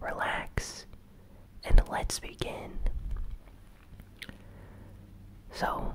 relax, and let's begin. So,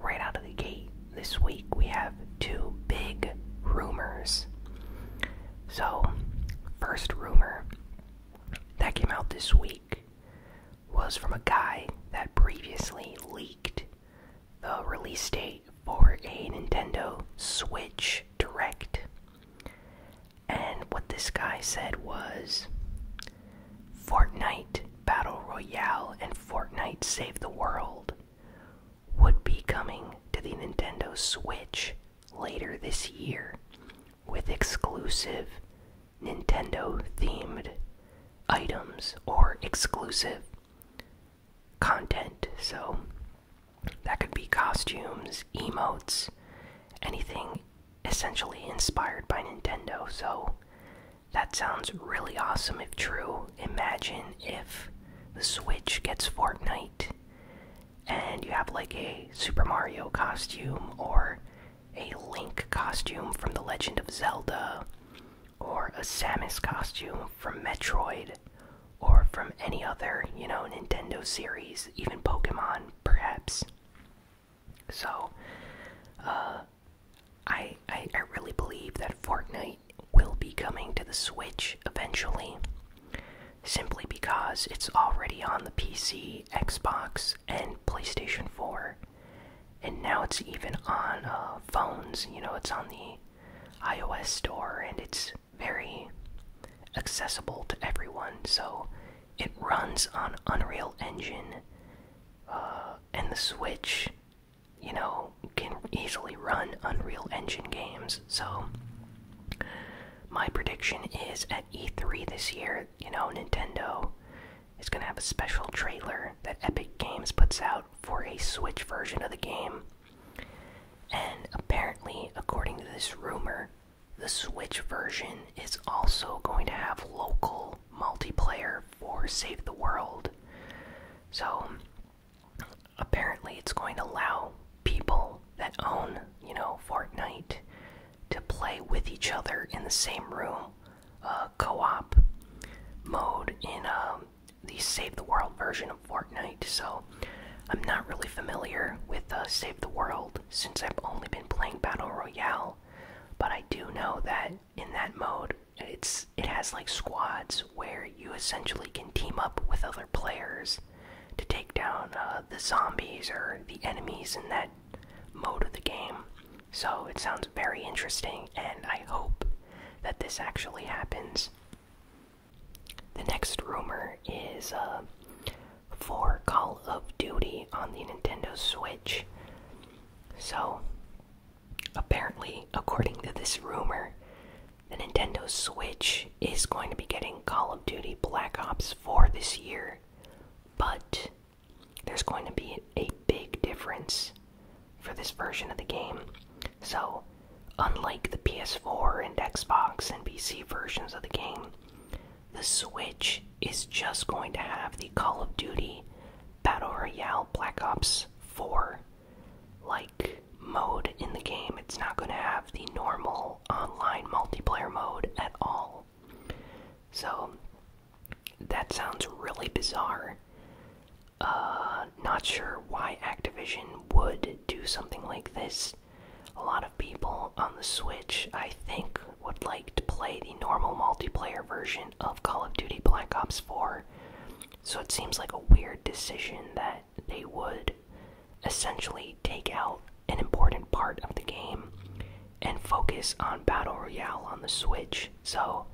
right out of the gate this week, we have two big rumors. So, first rumor that came out this week was from a guy that previously leaked the release date for a Nintendo Switch Direct. And what this guy said was Fortnite Battle Royale and Fortnite Save the World would be coming to the Nintendo Switch later this year with exclusive Nintendo themed items or exclusive content. So that could be costumes, emotes, anything essentially inspired by Nintendo. So that sounds really awesome if true. Imagine if the Switch gets Fortnite and you have like a Super Mario costume or a Link costume from The Legend of Zelda or a Samus costume from Metroid or from any other, you know, Nintendo series, even Pokemon, perhaps. So, uh, I, I really believe that Fortnite will be coming to the Switch eventually, simply because it's already on the PC, Xbox, and PlayStation 4, and now it's even on uh, phones. You know, it's on the iOS store, and it's very accessible to everyone. So it runs on Unreal Engine, uh, and the Switch, you know, can easily run Unreal Engine games. So, my prediction is at E3 this year, you know, Nintendo is going to have a special trailer that Epic Games puts out for a Switch version of the game. And apparently, according to this rumor, the Switch version is also going to have local multiplayer for Save the World. So apparently it's going to allow people that own, you know, Fortnite to play with each other in the same room, uh, co-op mode in um, the Save the World version of Fortnite. So I'm not really familiar with uh, Save the World, since I've only been playing Battle Royale, but I do know that in that mode, it's it has like squads where you essentially can team up with other players to take down uh, the zombies or the enemies in that mode of the game. So it sounds very interesting, and I hope that this actually happens. The next rumor is uh, for Call of Duty on the Nintendo Switch. So, apparently, according to this rumor, the Nintendo Switch is going to be getting Call of Duty Black Ops 4 this year, but there's going to be a big difference for this version of the game. So, unlike the PS4 and Xbox and PC versions of the game, the Switch is just going to have the Call of Duty Battle Royale Black Ops 4 like mode in the game. It's not going to have the normal online multiplayer mode at all. So that sounds really bizarre. Uh, not sure why Activision would do something like this. A lot of people on the Switch, I think, would like to play the normal multiplayer version of Call of Duty Black Ops 4. So it seems like a weird decision that they would essentially take out an important part of the game and focus on Battle Royale on the Switch. So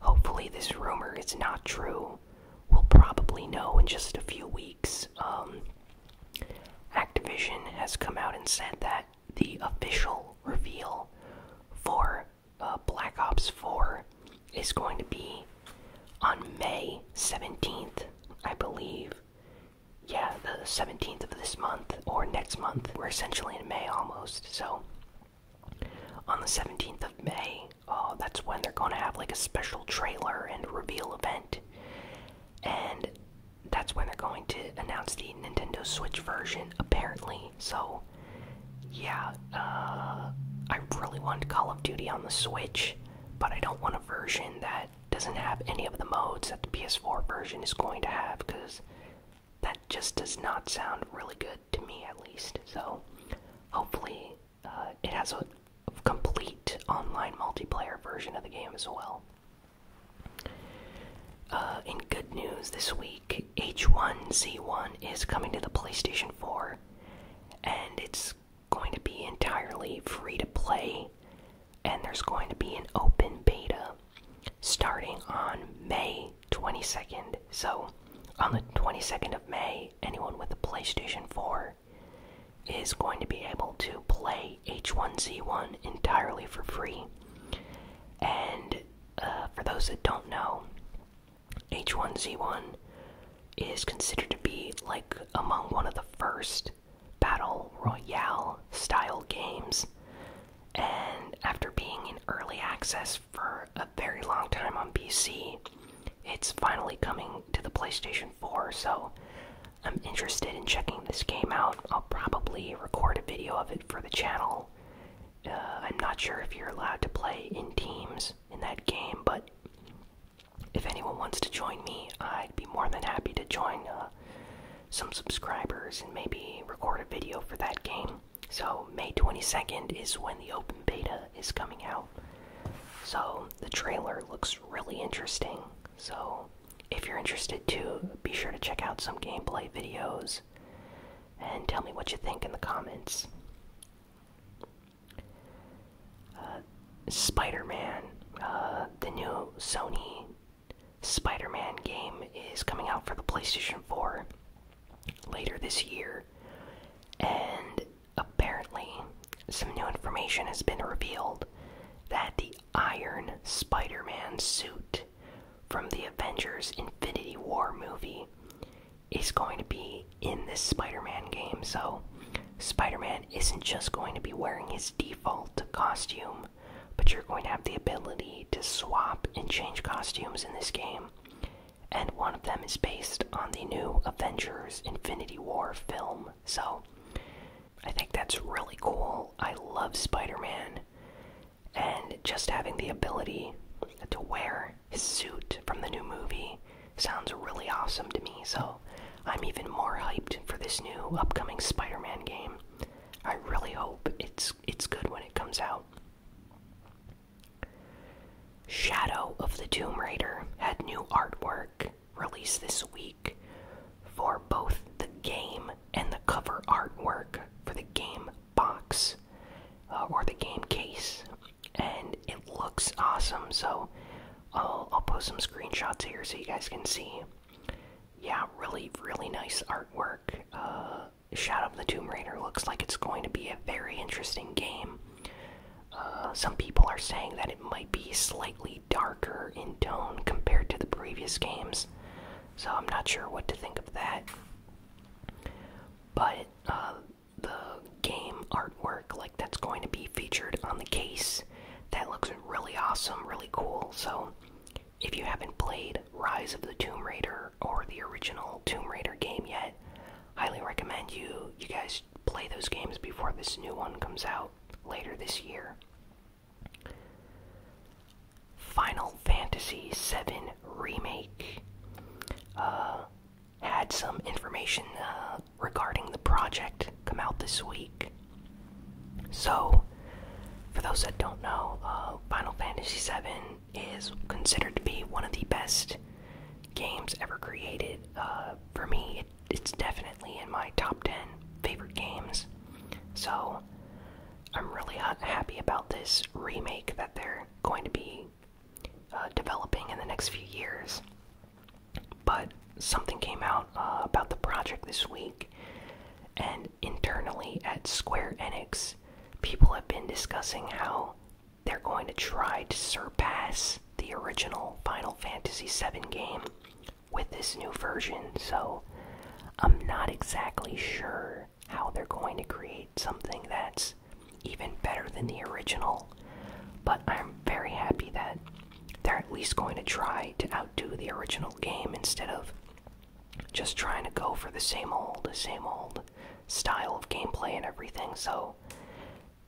hopefully, this rumor is not true. We'll probably know in just a few weeks. Um, Activision has come out and said that the official reveal for uh, Black Ops 4 is going to be on May 17th, I believe. Yeah, the 17th of this month or next month. We're essentially in May almost, so on the 17th of May, uh, that's when they're going to have like a special trailer and reveal event. And that's when they're going to announce the Nintendo Switch version, apparently. So, yeah, uh, I really want Call of Duty on the Switch, but I don't want a version that doesn't have any of the modes that the PS4 version is going to have, because that just does not sound really good to me, at least. So, hopefully, uh, it has a complete online multiplayer version of the game as well. Uh, in good news this week, H1Z1 is coming to the PlayStation 4, and it's going to be entirely free to play, and there's going to be an open beta starting on May 22nd. So, on the 22nd of May, anyone with a PlayStation 4 is going to be able to play H1Z1 entirely for free. And uh, for those that don't know, H1Z1 is considered to be like among one of the first battle royale style games. And after being in early access for a very long time on PC, it's finally coming to the PlayStation 4. So I'm interested in checking this game out. I'll probably record a video of it for the channel. Uh, I'm not sure if you're allowed to play in teams in that game, but if anyone wants to join me, I'd be more than happy to join uh, some subscribers and maybe record a video for that game. So, May 22nd is when the open beta is coming out. So, the trailer looks really interesting. So, if you're interested too, be sure to check out some gameplay videos and tell me what you think in the comments. Uh, Spider Man, uh, the new Sony Spider Man game, is coming out for the PlayStation 4 later this year, and apparently, some new information has been revealed that the Iron Spider Man suit from the Avengers Infinity War movie is going to be in this Spider Man game. So, Spider Man isn't just going to be wearing his default costume, but you're going to have the ability to swap and change costumes in this game. And one of them is based on the new Avengers Infinity War film. So, I think that's really cool. I love Spider Man. And just having the ability to wear his suit from the new movie sounds really awesome to me. So I'm even more hyped for this new upcoming Spider Man game. I really hope it's, it's good when it comes out. Shadow of the Tomb Raider had new artwork released this week for both the game and the cover artwork for the game box uh, or the game case, and it looks awesome. So I'll, I'll post some screenshots here so you guys can see. Yeah, really, really nice artwork. Uh, Shadow of the Tomb Raider looks like it's going to be a very interesting game. Uh, some people are saying that it might be slightly darker in tone compared to the previous games. So I'm not sure what to think of that. But uh, the game artwork, like that's going to be featured on the case, that looks really awesome, really cool. So if you haven't played Rise of the Tomb Raider or the original Tomb Raider game yet, highly recommend you you guys play those games before this new one comes out later this year. Final Fantasy VII Remake uh, had some information uh, regarding the project come out this week. So, for those that don't know, uh, Final Fantasy VII is considered to be one of the best games ever created. for me, it's definitely in my top 10 favorite games. So, I'm really happy about this remake that they're going to be uh, developing in the next few years. But something came out uh, about the project this week, and internally at Square Enix, people have been discussing how they're going to try to surpass the original Final Fantasy VII game with this new version. So I'm not exactly sure how they're going to create something that's even better than the original, but I'm very happy that they're at least going to try to outdo the original game instead of just trying to go for the same old, same old style of gameplay and everything. So,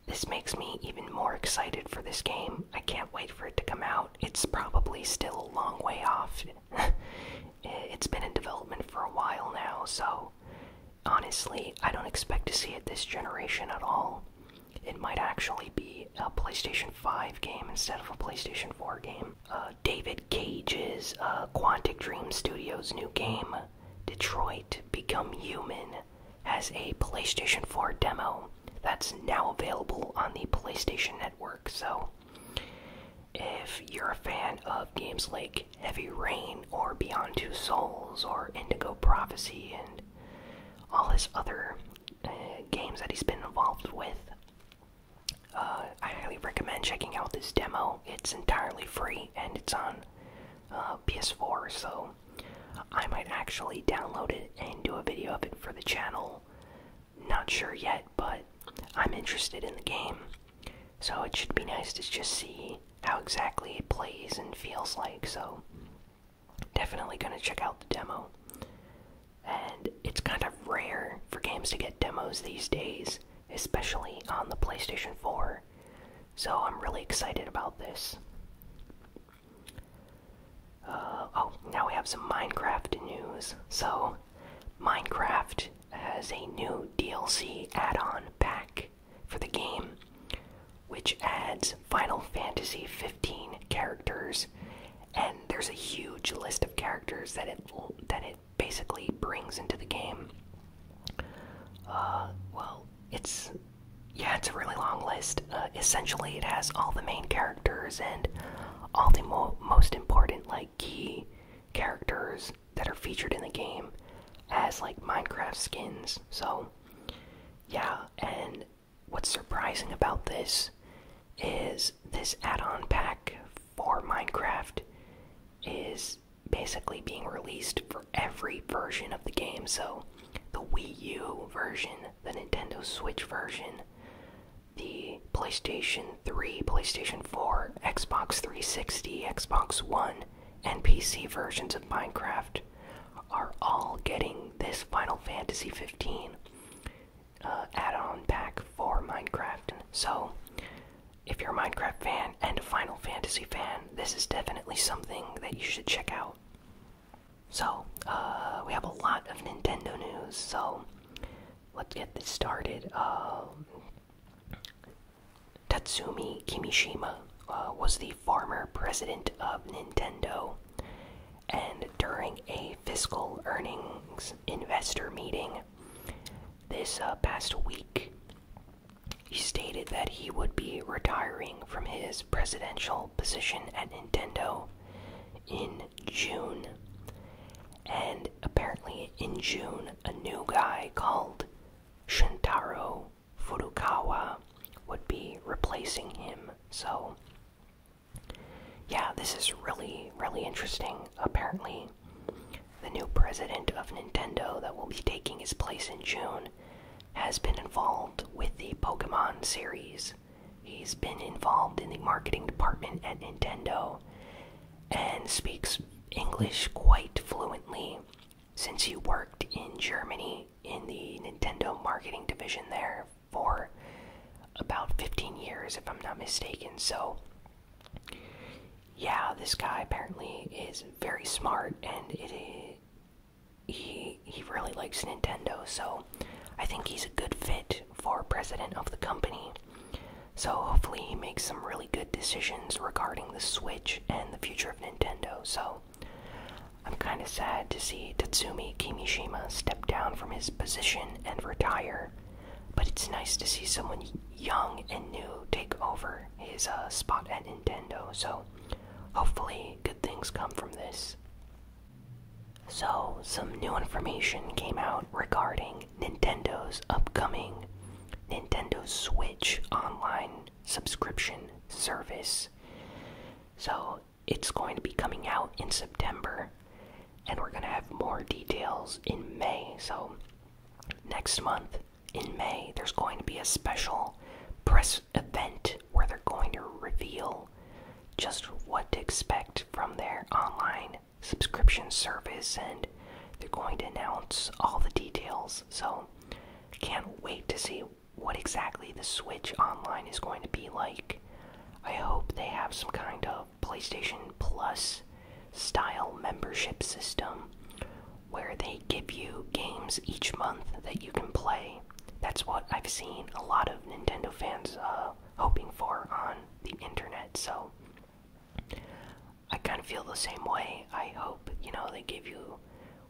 this makes me even more excited for this game. I can't wait for it to come out. It's probably still a long way off. Eh, it's been in development for a while now, so honestly, I don't expect to see it this generation at all. It might actually be a PlayStation 5 game instead of a PlayStation 4 game. Uh, David Cage's uh, Quantic Dream Studios' new game, Detroit Become Human, has a PlayStation 4 demo that's now available on the PlayStation Network, so if you're a fan of games like Heavy Rain or Beyond Two Souls or Indigo Prophecy and all his other uh, games that he's been involved with, uh, I highly recommend checking out this demo. It's entirely free and it's on uh, PS4, so I might actually download it and do a video of it for the channel not sure yet, but I'm interested in the game. So it should be nice to just see how exactly it plays and feels like. So definitely going to check out the demo. And it's kind of rare for games to get demos these days, especially on the PlayStation 4. So I'm really excited about this. Uh, oh, now we have some Minecraft news. So Minecraft has a new DLC add on pack for the game, which adds Final Fantasy 15 characters, and there's a huge list of characters that it, that it basically brings into the game. Uh, well, it's. Yeah, it's a really long list. Uh, essentially, it has all the main characters and all the most important, like, key characters that are featured in the game as like Minecraft skins. So, yeah, and what's surprising about this is this add-on pack for Minecraft is basically being released for every version of the game. So, the Wii U version, the Nintendo Switch version, the PlayStation 3, PlayStation 4, Xbox 360, Xbox One, and PC versions of Minecraft are all getting this Final Fantasy 15 uh, add-on pack for Minecraft. So, if you're a Minecraft fan and a Final Fantasy fan, this is definitely something that you should check out. So, uh, we have a lot of Nintendo news. So, let's get this started. Um, Tatsumi Kimishima uh, was the former president of Nintendo, and during a fiscal earnings investor meeting this uh, past week, he stated that he would be retiring from his presidential position at Nintendo in June and apparently, in June, a new guy called Shintaro Furukawa would be replacing him. So, yeah, this is really, really interesting. Apparently, the new president of Nintendo that will be taking his place in June has been involved with the Pokemon series. He's been involved in the marketing department at Nintendo and speaks English quite fluently since he worked in Germany in the Nintendo marketing division there for about 15 years, if I'm not mistaken. So, yeah, this guy apparently is very smart and it is. He, he really likes Nintendo, so I think he's a good fit for president of the company. So hopefully he makes some really good decisions regarding the Switch and the future of Nintendo. So I'm kind of sad to see Tatsumi Kimishima step down from his position and retire, but it's nice to see someone young and new take over his uh, spot at Nintendo. So hopefully good things come from this. So, some new information came out regarding Nintendo's upcoming Nintendo Switch online subscription service. So it's going to be coming out in September, and we're going to have more details in May. So next month in May, there's going to be a special press event where they're going to reveal just what to expect from their online subscription service, and they're going to announce all the details. So, can't wait to see what exactly the Switch Online is going to be like. I hope they have some kind of PlayStation Plus style membership system where they give you games each month that you can play. That's what I've seen a lot of Nintendo fans uh, hoping for on the internet, so I kind of feel the same way. I hope, you know, they give you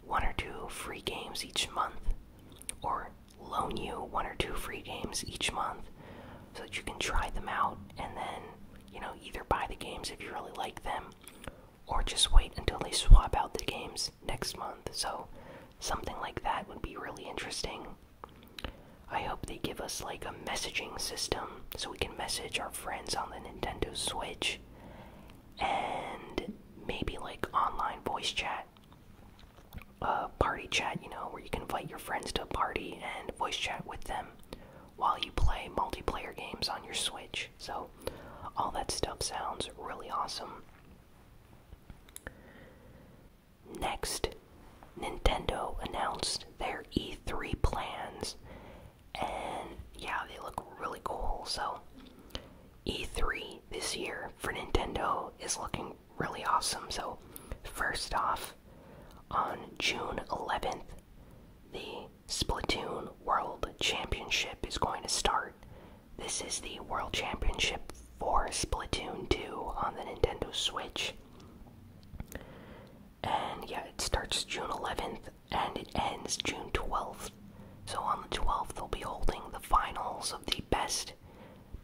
one or two free games each month or loan you one or two free games each month so that you can try them out and then, you know, either buy the games if you really like them or just wait until they swap out the games next month. So, something like that would be really interesting. I hope they give us like a messaging system so we can message our friends on the Nintendo Switch and maybe like online voice chat. Uh, party chat, you know, where you can invite your friends to a party and voice chat with them while you play multiplayer games on your Switch. So, all that stuff sounds really awesome. Next, Nintendo announced their E3 plans, and yeah, they look really cool. So, E3 this year for Nintendo is looking really awesome. So, first off, on June 11th, the Splatoon World Championship is going to start. This is the World Championship for Splatoon 2 on the Nintendo Switch and yeah, it starts June 11th and it ends June 12th. So on the 12th, they'll be holding the finals of the best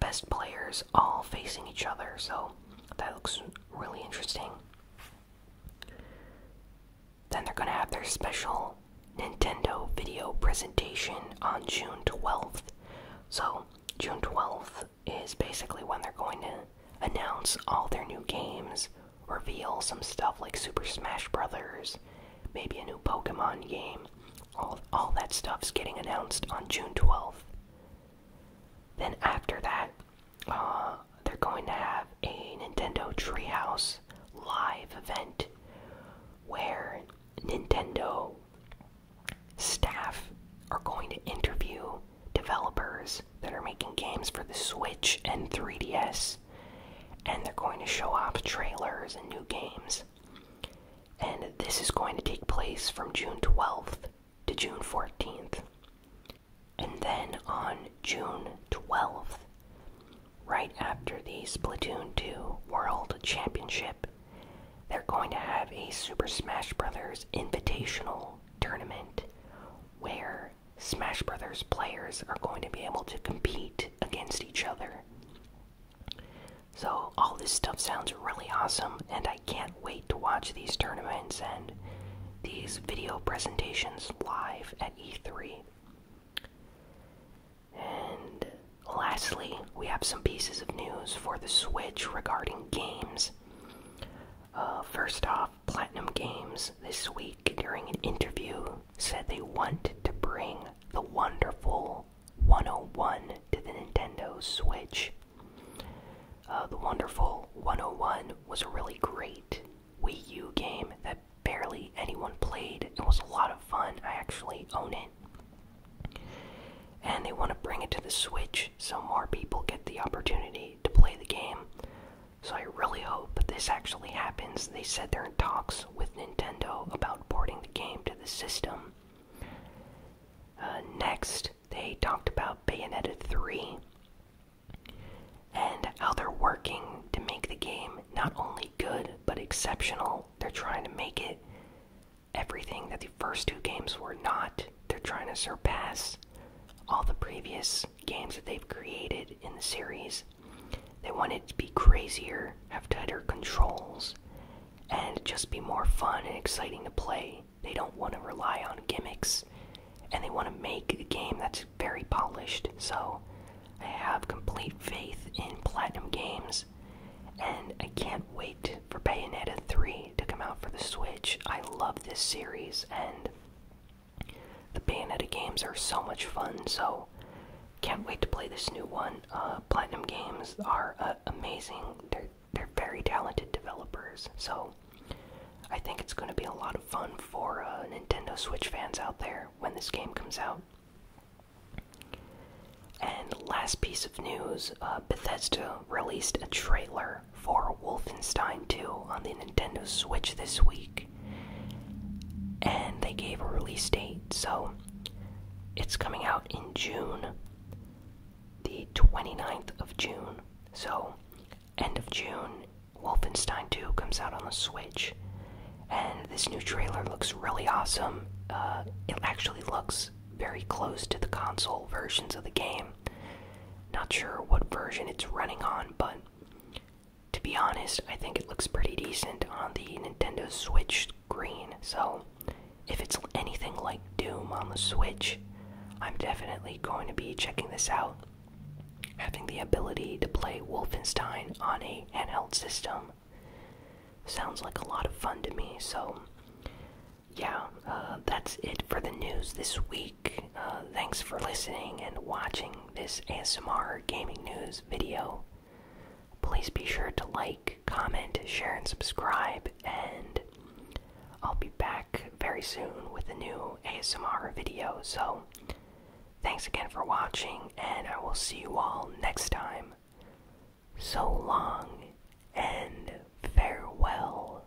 best players all facing each other. So that looks really interesting. Then they're going to have their special Nintendo video presentation on June 12th. So June 12th is basically when they're going to announce all their new games, reveal some stuff like Super Smash Brothers, maybe a new Pokemon game. All all that stuff's getting announced on June 12th. Then after that, uh, they're going to have a Nintendo Treehouse live event where Nintendo staff are going to interview developers that are making games for the Switch and 3DS, and they're going to show off trailers and new games. And this is going to take place from June 12th to June 14th. And then on June 12th, right after the Splatoon 2 World Championship, they're going to have a Super Smash Bros. Invitational tournament where Smash Brothers players are going to be able to compete against each other. So, all this stuff sounds really awesome, and I can't wait to watch these tournaments and these video presentations live at E3. And lastly, we have some pieces of news for the Switch regarding games. Uh, first off, Platinum Games this week during an interview said they want to bring the wonderful 101 to the Nintendo Switch. Uh, the wonderful 101 was a really great Wii U game that barely anyone played. It was a lot of fun. I actually own it. And they want to bring it to the Switch so more people get the opportunity to play the game. So I really hope this actually happens. They said they're in talks with Nintendo about porting the game to the system. Uh, next, they talked about Bayonetta 3 and how they're working to make the game not only good but exceptional. They're trying to make it everything that the first two games were not. They're trying to surpass all the previous games that they've created in the series. They want it to be crazier, have tighter controls, and just be more fun and exciting to play. They don't want to rely on gimmicks, and they want to make a game that's very polished. So, I have complete faith in Platinum Games, and I can't wait for Bayonetta 3 to come out for the Switch. I love this series, and the Bayonetta games are so much fun, so can't wait to play this new one. Uh, Platinum Games are uh, amazing. They're they're very talented developers, so I think it's going to be a lot of fun for uh, Nintendo Switch fans out there when this game comes out. And last piece of news: Bethesda released a trailer for Wolfenstein 2 on the Nintendo Switch this week. And they gave a release date, so it's coming out in June, the 29th of June. So, end of June, Wolfenstein 2 comes out on the Switch. And this new trailer looks really awesome. Uh, it actually looks very close to the console versions of the game. Not sure what version it's running on, but to be honest, I think it looks pretty decent on the Nintendo Switch screen. So, if it's anything like Doom on the Switch, I'm definitely going to be checking this out. Having the ability to play Wolfenstein on a handheld system sounds like a lot of fun to me, so yeah, uh, that's it for the news this week. Uh, thanks for listening and watching this ASMR gaming news video. Please be sure to like, comment, share, and subscribe, and I'll be back very soon with a new ASMR video. So, thanks again for watching, and I will see you all next time. So long and farewell.